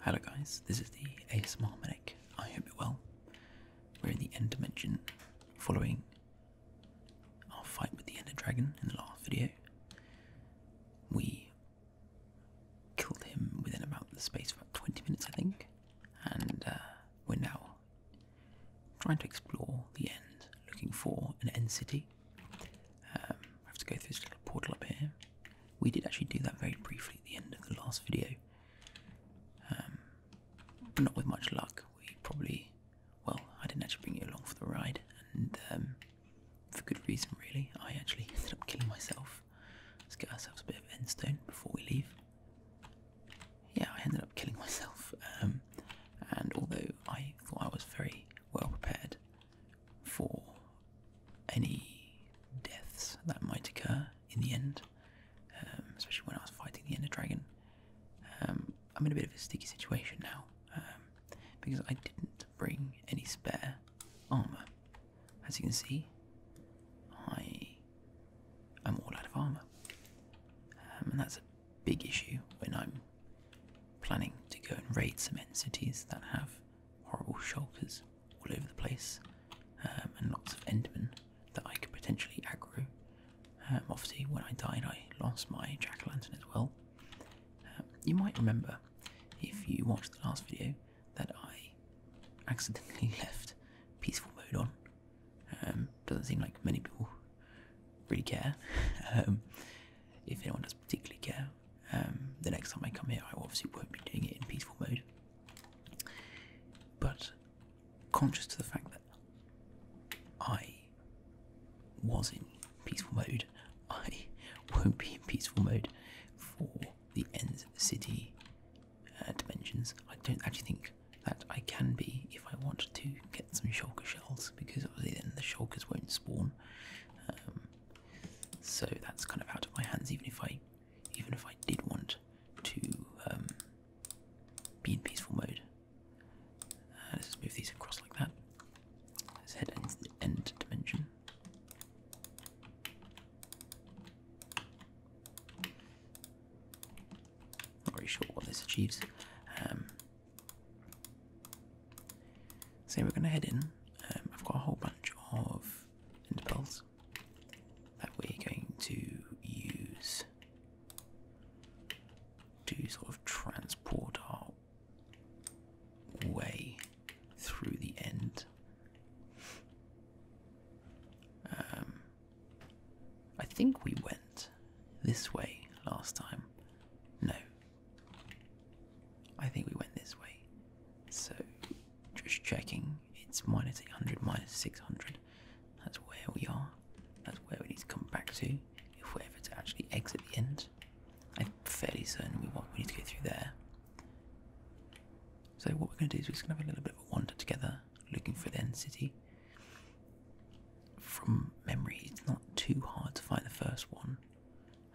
Hello guys, this is the ASMR Medic. I hope you're well. We're in the end dimension following our fight with the Ender Dragon in the last video. We killed him within about the space of about 20 minutes I think, and uh, we're now Trying to explore the end, looking for an end city. Um, I have to go through this little portal up here. We did actually do that very briefly at the end of the last video. Um, but not with much luck. We probably, well, I didn't actually bring you along for the ride, and um, for good reason, really. I actually ended up killing myself. Let's get ourselves a bit of endstone before we leave yeah, I ended up killing myself. Um, and although I thought I was very well prepared for any deaths that might occur in the end, um, especially when I was fighting the Ender Dragon, um, I'm in a bit of a sticky situation now because I didn't bring any spare armor. As you can see, I am all out of armor, and that's a big issue when I'm planning to go and raid cement cities that have horrible shelters all over the place um, and lots of endermen that I could potentially aggro. Um, obviously, when I died, I lost my jack o' lantern as well. Um, you might remember if you watched the last video that I accidentally left peaceful mode on um, doesn't seem like many people really care. Um, if anyone does particularly care, um, the next time I come here, I obviously won't be doing it in peaceful mode. But conscious to the fact that I was in peaceful mode, I won't be in peaceful mode for the end city uh, dimensions. I don't actually think that I can be if I want to get some shulker shells because obviously then the shulkers won't spawn. Um, so that's kind of out of my hands even if I even if I did want to um, be in peaceful mode. Uh, let's just move these across like that. Let's head into the end dimension. Not really sure what this achieves. Um, so we're going to head in. Um, I've got a whole bunch of interpels that we're going to use to sort of transport our way through the end. Um, I think we went this way last time. No. I think we went this way. So, just checking. It's minus 800, minus 600. That's where we are. That's where we need to come back to if we're ever to actually exit the end. I'm fairly certain we want we need to go through there. So what we're going to do is we're just going to have a little bit of a wander together, looking for the end city from memory, it's not too hard to find the first one.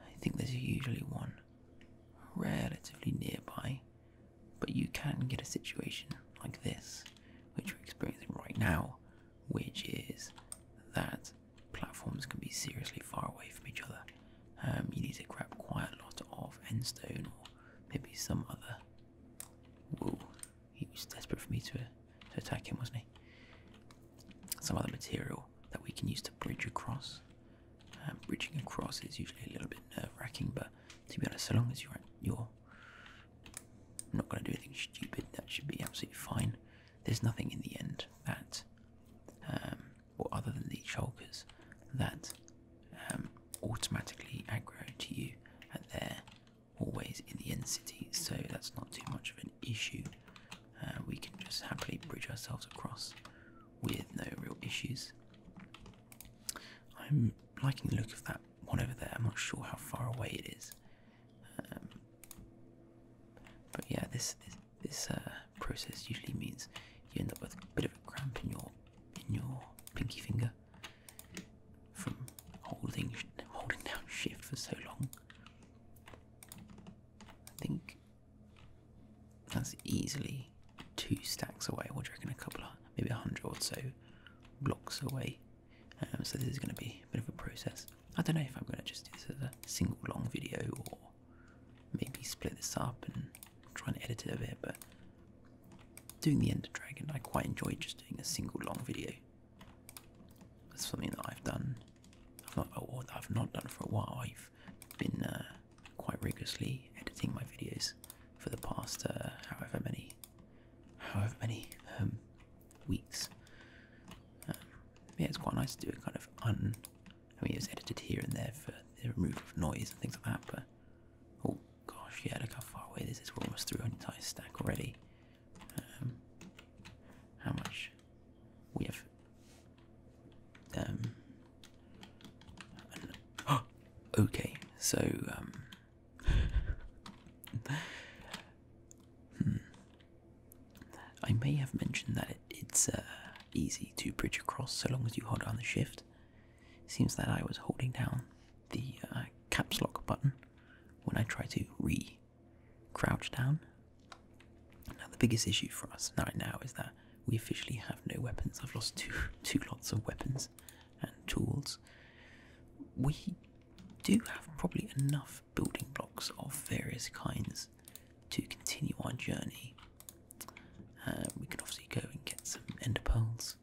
I think there's usually one relatively nearby, but you can get a situation like this, which we're experiencing right now, which is that platforms can be seriously far away from each other. Um, you need to grab quite a lot of stone, or maybe some other he was desperate for me to, to attack him, wasn't he? Some other material that we can use to bridge across. Um, bridging across is usually a little bit nerve-wracking, but to be honest, so long as you're, you're not going to do anything stupid, that should be absolutely fine. There's nothing in the end that, um, or other than the shulkers, that um, automatically aggro to you and they're always in the end city, so that's not too much of an issue. Uh, we can just happily bridge ourselves across with no real issues. I'm liking the look of that one over there. I'm not sure how far away it is, um, but yeah, this this, uh, process usually means you end up with a bit of a cramp in your in your pinky finger, from holding holding down shift for so long. I think that's easily two stacks away. We're you A couple of maybe a hundred or so blocks away. Um, so this is going to be a bit of a process. I don't know if I'm going to just do this as a single long video or maybe split this up and I'm trying to edit it a bit, but doing the Ender Dragon, I quite enjoy just doing a single long video. That's something that I've done. I've not, oh, I've not done for a while. I've been uh, quite rigorously editing my videos for the past uh, however many, however many um, weeks. Um, yeah, it's quite nice to do it kind of un. I mean, it's edited here and there for the removal of noise and things like that, but oh, gosh, yeah, look how far away this is. We're almost through an entire stack already. Um, how much? We have. Um, okay, so, um, hmm. I may have mentioned that it's uh, easy to bridge across so long as you hold down the shift. Seems that I was holding down the uh, caps lock button when I tried to re crouch down. Now, the biggest issue for us right now is that we officially have no weapons. I've lost two, two lots of weapons and tools. We do have probably enough building blocks of various kinds to continue our journey. Uh, we can obviously go and get some ender pearls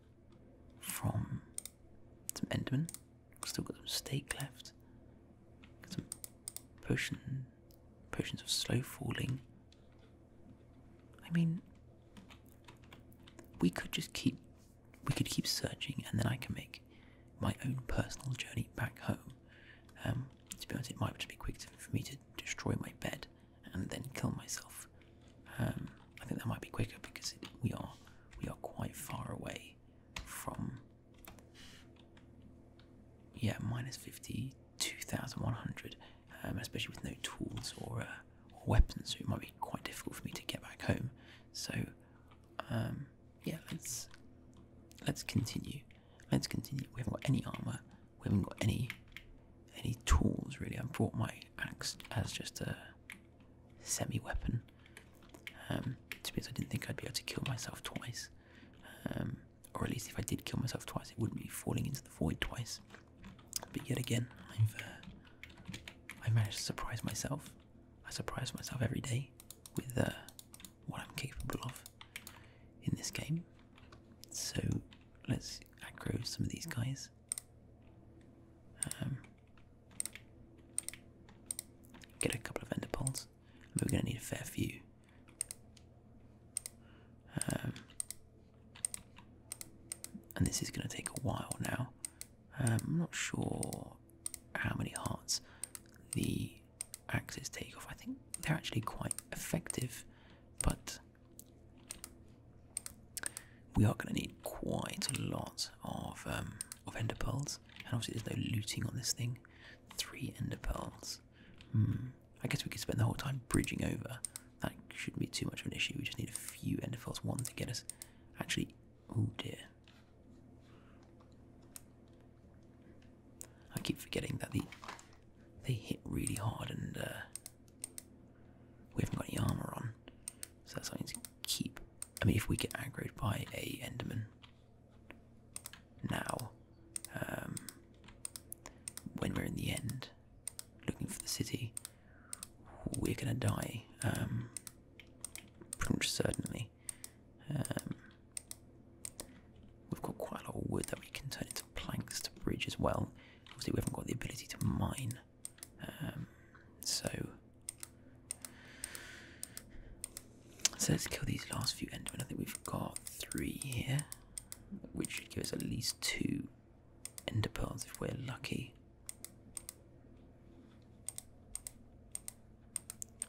from some Enderman. Still got some steak left. some potion, potions of slow falling. I mean, we could just keep, we could keep searching, and then I can make my own personal journey back home. Um, to be honest, it might just be quick for me to destroy my bed and then kill myself. Um, I think that might be quicker because we are we are quite far away from yeah minus fifty two thousand one hundred, um, especially with no tools or, uh, weapons. So it might be quite difficult for me to get back home. So um, yeah, let's let's continue. Let's continue. We haven't got any armor. We haven't got any any tools really. I brought my axe as just a semi-weapon. Um, to be honest, I didn't think I'd be able to kill myself twice. Um, or at least if I did kill myself twice, it wouldn't be falling into the void twice. But yet again, I've uh, I managed to surprise myself. I surprise myself every day with uh, what I'm capable of in this game. So let's aggro some of these guys. Um, get a couple of ender poles. We're going to need a fair few. Um, and this is going to take a while now. Um, I'm not sure how many hearts the axes take off. I think they're actually quite effective, but we are going to need quite a lot of um, of ender pearls, and obviously there's no looting on this thing. Three ender pearls. Hmm. I guess we could spend the whole time bridging over. That shouldn't be too much of an issue. We just need a few ender pearls, one to get us actually. Oh dear. I keep forgetting that the they hit really hard and uh, we haven't got any armor on, so that's something to keep. I mean, if we get aggroed by a Enderman now, um, when we're in the end, looking for the city, we're gonna die, um, pretty much certainly. Um, we've got quite a lot of wood that we can turn into planks to bridge as well. Obviously, we haven't got the ability to mine, um, so so let's kill these last few endermen. I think we've got three here, which should give us at least two ender pearls if we're lucky.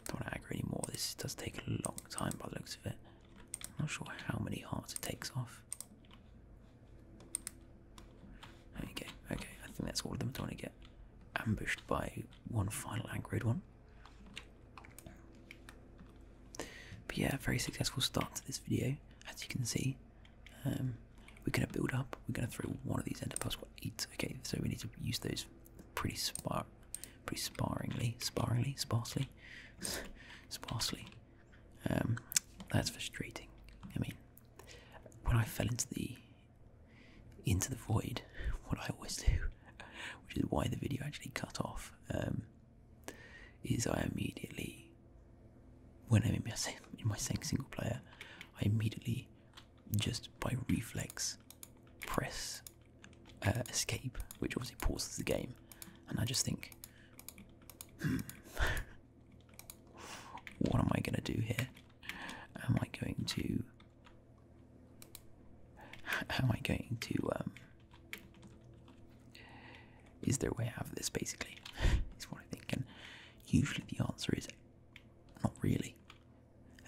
Don't want to aggro anymore. This does take a long time by the looks of it. I'm not sure how many hearts it takes off. There you go. Okay, I think that's all of them. I don't want to get ambushed by one final angered one. But yeah, very successful start to this video. As you can see, um, we're going to build up. We're going to throw one of these into plus what eight. Okay, so we need to use those pretty spar, pretty sparingly, sparingly, sparsely, sparsely. Um, that's frustrating. I mean, when I fell into the into the void, what I always do, which is why the video actually cut off, um, is I immediately, when I'm in my, in my single player, I immediately, just by reflex, press uh, escape, which obviously pauses the game, and I just think, what am I going to do here? Am I going to. Am I going to. Um, is there a way out of this, basically? is what I think. And usually the answer is not really.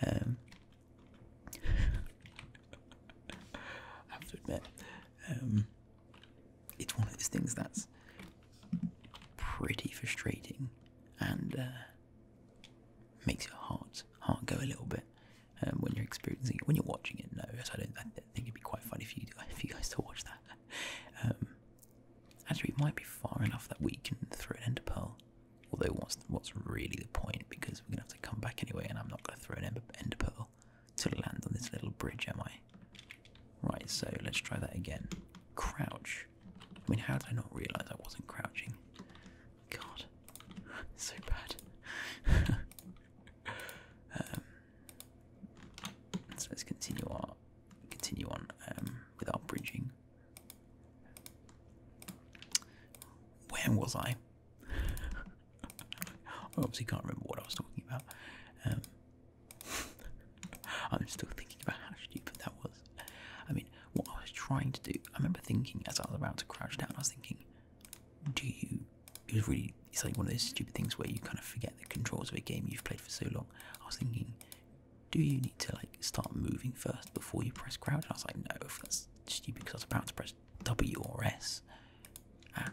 Um, have to admit. Um, it's one of those things that's pretty frustrating and uh, makes your heart heart go a little bit um, when you're experiencing When you're watching it, no, I don't. I think it'd be quite funny if you guys to watch that. Um, actually, it might be far enough that we can throw an ender pearl. Although, what's what's really the point? Because we're gonna have to come back anyway, and I'm not gonna throw an ender, ender pearl to land on this little bridge, am I? Right, so let's try that again. Crouch. I mean, how did I not realise I wasn't crouching? God, so bad. Um, so let's continue our continue on um, without bridging. Where was I? I obviously can't remember what I was talking about. Um, I'm still thinking about how stupid that was. I mean, what I was trying to do, I remember thinking as I was about to crouch down, I was thinking, do you, it was really, it's like one of those stupid things where you kind of forget the controls of a game you've played for so long. I was thinking, do you need to like start moving first before you press crouch? And I was like, no, that's stupid because I was about to press W or S. Ah,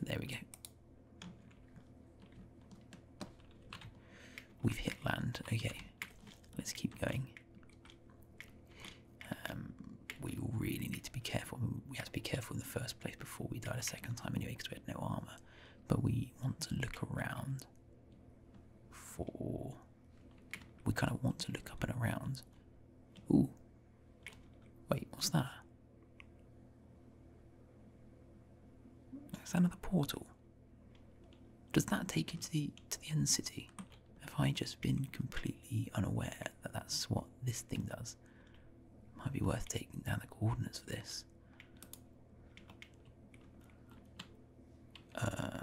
there we go. We've hit land. Okay, let's keep going. Um, we really need to be careful. We had to be careful in the first place before we died a second time anyway because we had no armour. But we want to look around for we kind of want to look up and around. Ooh. Wait, what's that? Is that another portal? Does that take you to the to the end city? Have I just been completely unaware that that's what this thing does? Might be worth taking down the coordinates for this. Uh,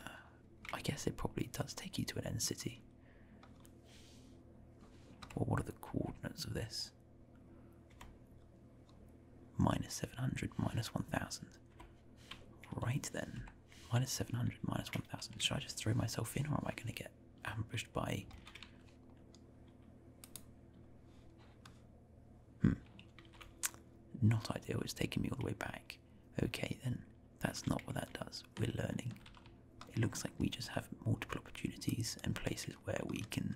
I guess it probably does take you to an end city. Well, what are the coordinates of this? Minus 700, minus 1000. Right then. Minus 700, minus 1000. Should I just throw myself in or am I going to get ambushed by. Hmm. Not ideal, it's taking me all the way back okay then, that's not what that does. We're learning. It looks like we just have multiple opportunities and places where we can.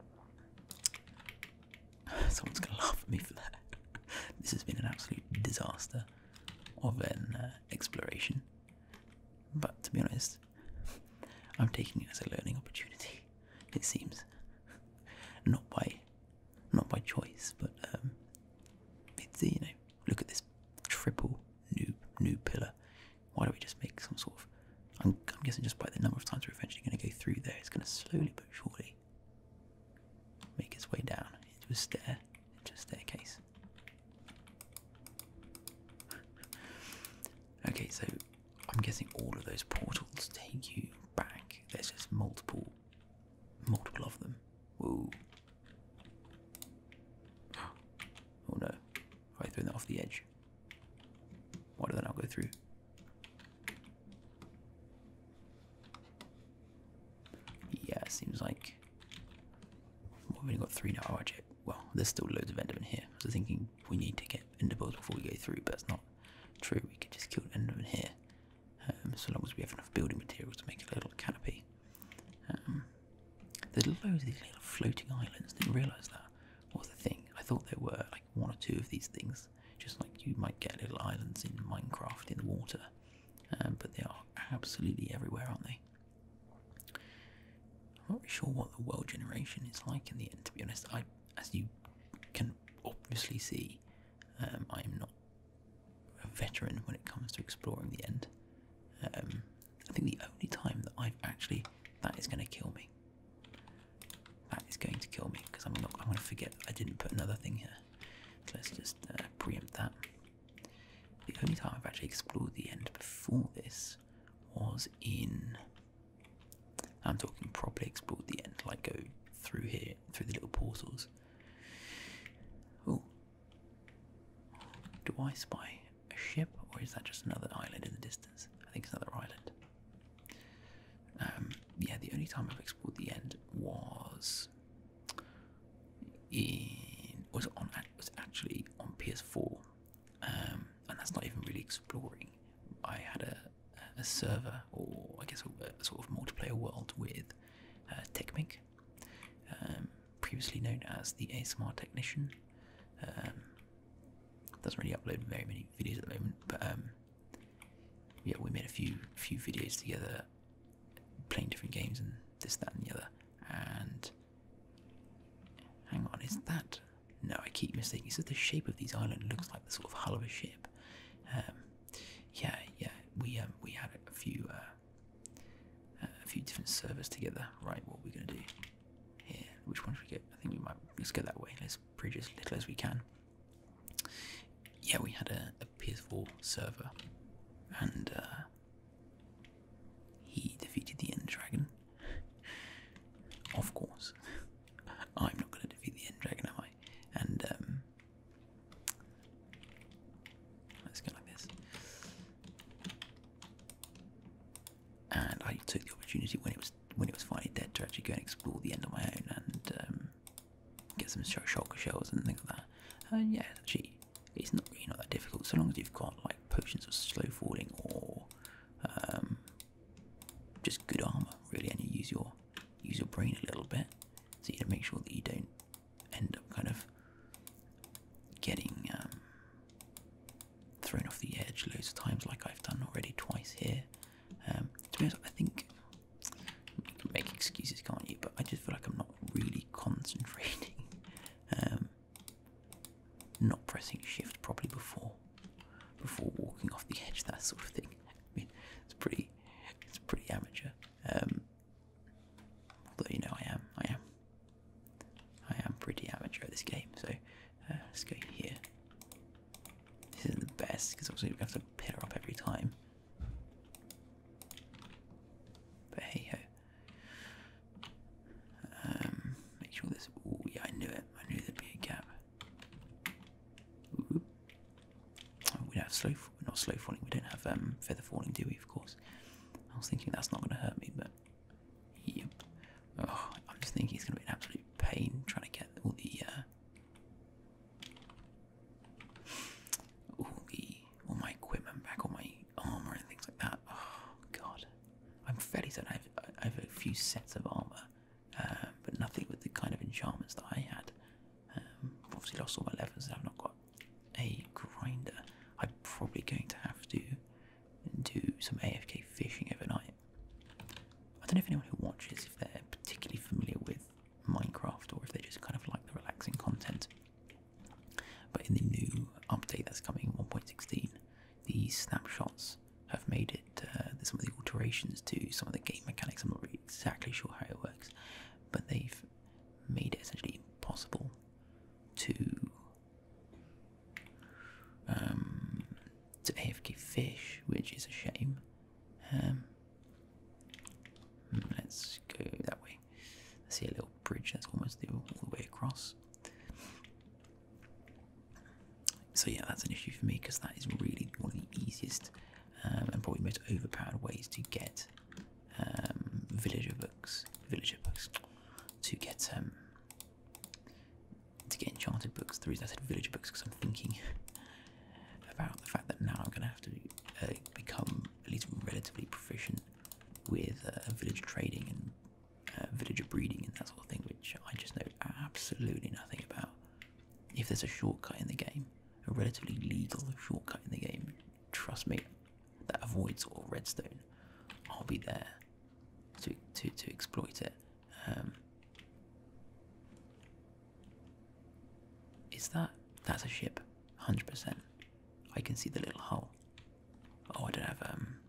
Someone's gonna laugh at me for that. this has been an absolute disaster of an uh, exploration. But to be honest, I'm taking it as a learning opportunity, it seems. Not by not by choice, but um, it's you know look at this triple new new pillar. Why don't we just make some sort of? I'm, guessing just by the number of times we're eventually going to go through there, it's going to slowly but surely make its way down into a stair, into a staircase. okay, so I'm guessing all of those portals take you back. There's just multiple Multiple of them. Whoa. Oh no. I threw that off the edge? Why did that not go through? Yeah, it seems like we've only got three now. Oh, actually, well, there's still loads of enderman here. So thinking we need to get Enderpearls before we go through, but it's not true. We can just kill Enderman here um, so long as we have enough building materials to make a little canopy. Um, there's loads of these little floating islands. Didn't realise that was the thing. I thought there were like one or two of these things, just like you might get little islands in Minecraft in the water, um, but they are absolutely everywhere, aren't they? I'm not really sure what the world generation is like in the end, to be honest. I, as you can obviously see, I'm um, not a veteran when it comes to exploring the end. Um, I think the only time that I've actually that is going to kill me. That is going to kill me because I'm not. I'm going to forget I didn't put another thing here. So let's just uh, preempt that. The only time I've actually explored the end before this was in I'm talking properly explore the end, like go through here, through the little portals. Oh, do I spy a ship, or is that just another island in the distance? I think it's another island. Um, yeah, the only time I've explored the end was in was on was actually on PS4, um, and that's not even really exploring. I had a a server or I guess a, sort of multiplayer world with uh, Technic, um, previously known as the ASMR Technician. Um, doesn't really upload very many videos at the moment, but um, yeah, we made a few few videos together, playing different games and this, that, and the other. And hang on, is that? No, I keep mistaking. So the shape of these island looks like the sort of hull of a ship. Um, yeah, yeah, we um, we had a few uh, a few different servers together. Right, what we're we are going to do here? Which one we get? I think we might let's go that way. Let's bridge as little as we can. Yeah, we had a, a ps server, and uh, he defeated the End Dragon. of course, I'm not gonna defeat the End Dragon, am I? And um, let's go like this. And I took the opportunity when it was when it was finally dead to actually go and explore the end on my own and um, get some shulker shells and things like that. And yeah, actually, it's not really not that difficult so long as you've got like potions of slow falling or um, just good armor, really, and you use your use your brain a little bit, so you make sure that you don't end up kind of getting um, thrown off the edge loads of times, like I've done already twice here. Um, to be honest, I think you can make excuses, can't you? But I just feel like I'm not really concentrating, um, not pressing shift properly before before walking off the edge, that sort of thing. I mean, it's pretty, it's pretty amateur. Um, although you know, I am, I am, I am pretty amateur at this game. So uh, let's go here. This isn't the best because obviously we have to pick her up every time. But hey ho. Um, make sure this. Oh yeah, I knew it. I knew there'd be a gap we don't have slow, we're not slow falling, we don't have um, feather falling, do we, of course? I was thinking that's not going to hurt me, but yep. Oh, I'm just thinking it's going to be an absolute pain trying to get uh, all the, all my equipment back, all my armor and things like that. Oh, God. I'm fairly certain I have, I have a few sets of armor uh, but nothing with the kind of enchantments that I had. Um, obviously lost all my levels and I've not got a grinder. I'm probably going to have to do some AFK fishing overnight. I don't know if anyone who watches, if they're particularly familiar with Minecraft or if they just kind of like the relaxing content. But in the new update that's coming, 1.16, these snapshots have made it uh, There's some of the alterations to some of the game mechanics. I'm not really exactly sure how it works, but they've made it essentially impossible to um, to AFK fish, which is a shame. Um, hmm, let's go that way. I see a little bridge that's almost the, all the way across. So yeah, that's an issue for me because that is really one of the easiest um, and probably most overpowered ways to get um, villager books, villager books, to get um, to get enchanted books. The reason I said village books because I'm thinking about the fact that now I'm going to have to uh, become at least relatively proficient with uh, village trading and uh, villager breeding and that sort of thing, which I just know absolutely nothing about. If there's a shortcut in the game, a relatively legal shortcut in the game, trust me, that avoids all redstone, I'll be there to to to exploit it. Um, is that that's a ship? Hundred percent. I can see the little hull. Oh, I don't have um.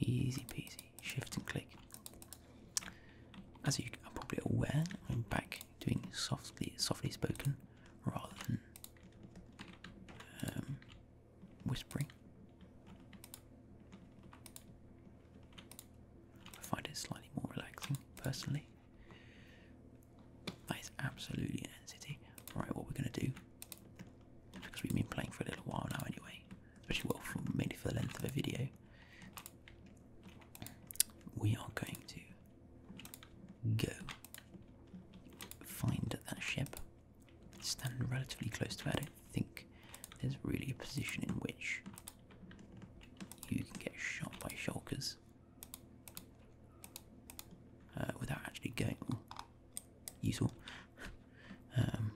Easy peasy. Shift and click. As you are probably aware, I'm back doing softly, softly spoken rather than um, whispering. I find it slightly more relaxing, personally. That is absolutely an entity. Right, what we're going to do because we've been playing for a little while now anyway. Especially well for mainly for the length of a video. We are going to go find that ship. standing relatively close to it. I don't think there's really a position in which you can get shot by shulkers uh, without actually going. useful. Um,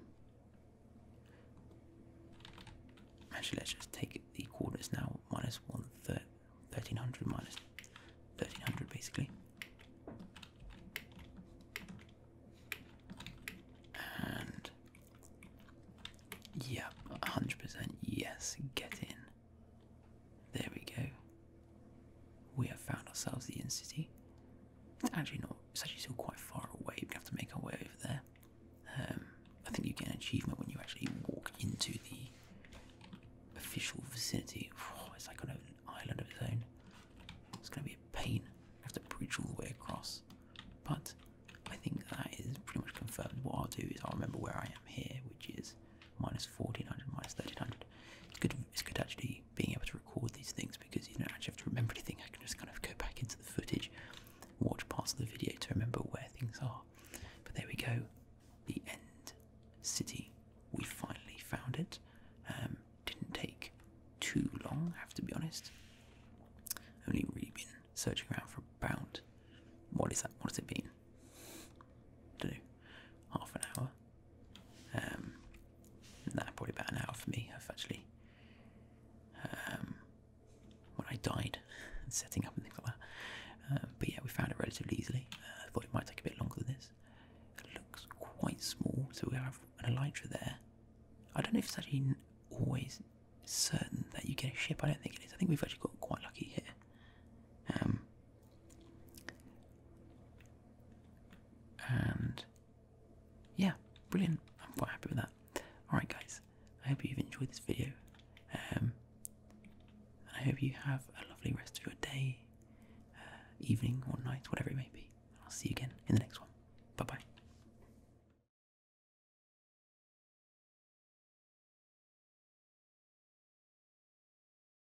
actually, let's just take the coordinates now. Minus one 1300 minus 1300 basically. And yep, 100% yes, get in. There we go. We have found ourselves the inn city. It's actually not, it's actually still quite far away. we have to make our way over there. Um, I think you get an achievement when you actually walk into the official vicinity. it's like an island of its own. It's going to be a pain. I have to bridge all the way across. But I think that is pretty much confirmed. What I'll do is I'll remember where I am here, which is minus 1400, minus 1300. It's good, it's good actually being able to record these things because you don't actually have to remember anything. I can just kind of go back into the footage, watch parts of the video to remember where things are. But there we go, the end city. We finally found it. Um, didn't take too long, I have to be honest. Only really been searching around for about what is that? What has it been? don't know, half an hour. Um, probably about an hour for me. I've actually, um, when I died, setting up and things like that. Um, but yeah, we found it relatively easily. Uh, I thought it might take a bit longer than this. It looks quite small, so we have an elytra there. I don't know if it's actually always certain that you get a ship. I don't think it is. I think we've actually got quite lucky here. Um, and yeah, brilliant. I'm quite happy with that. Alright, guys, I hope you've enjoyed this video. Um, I hope you have a lovely rest of your day, uh, evening, or night, whatever it may be. I'll see you again in the next one. Bye bye.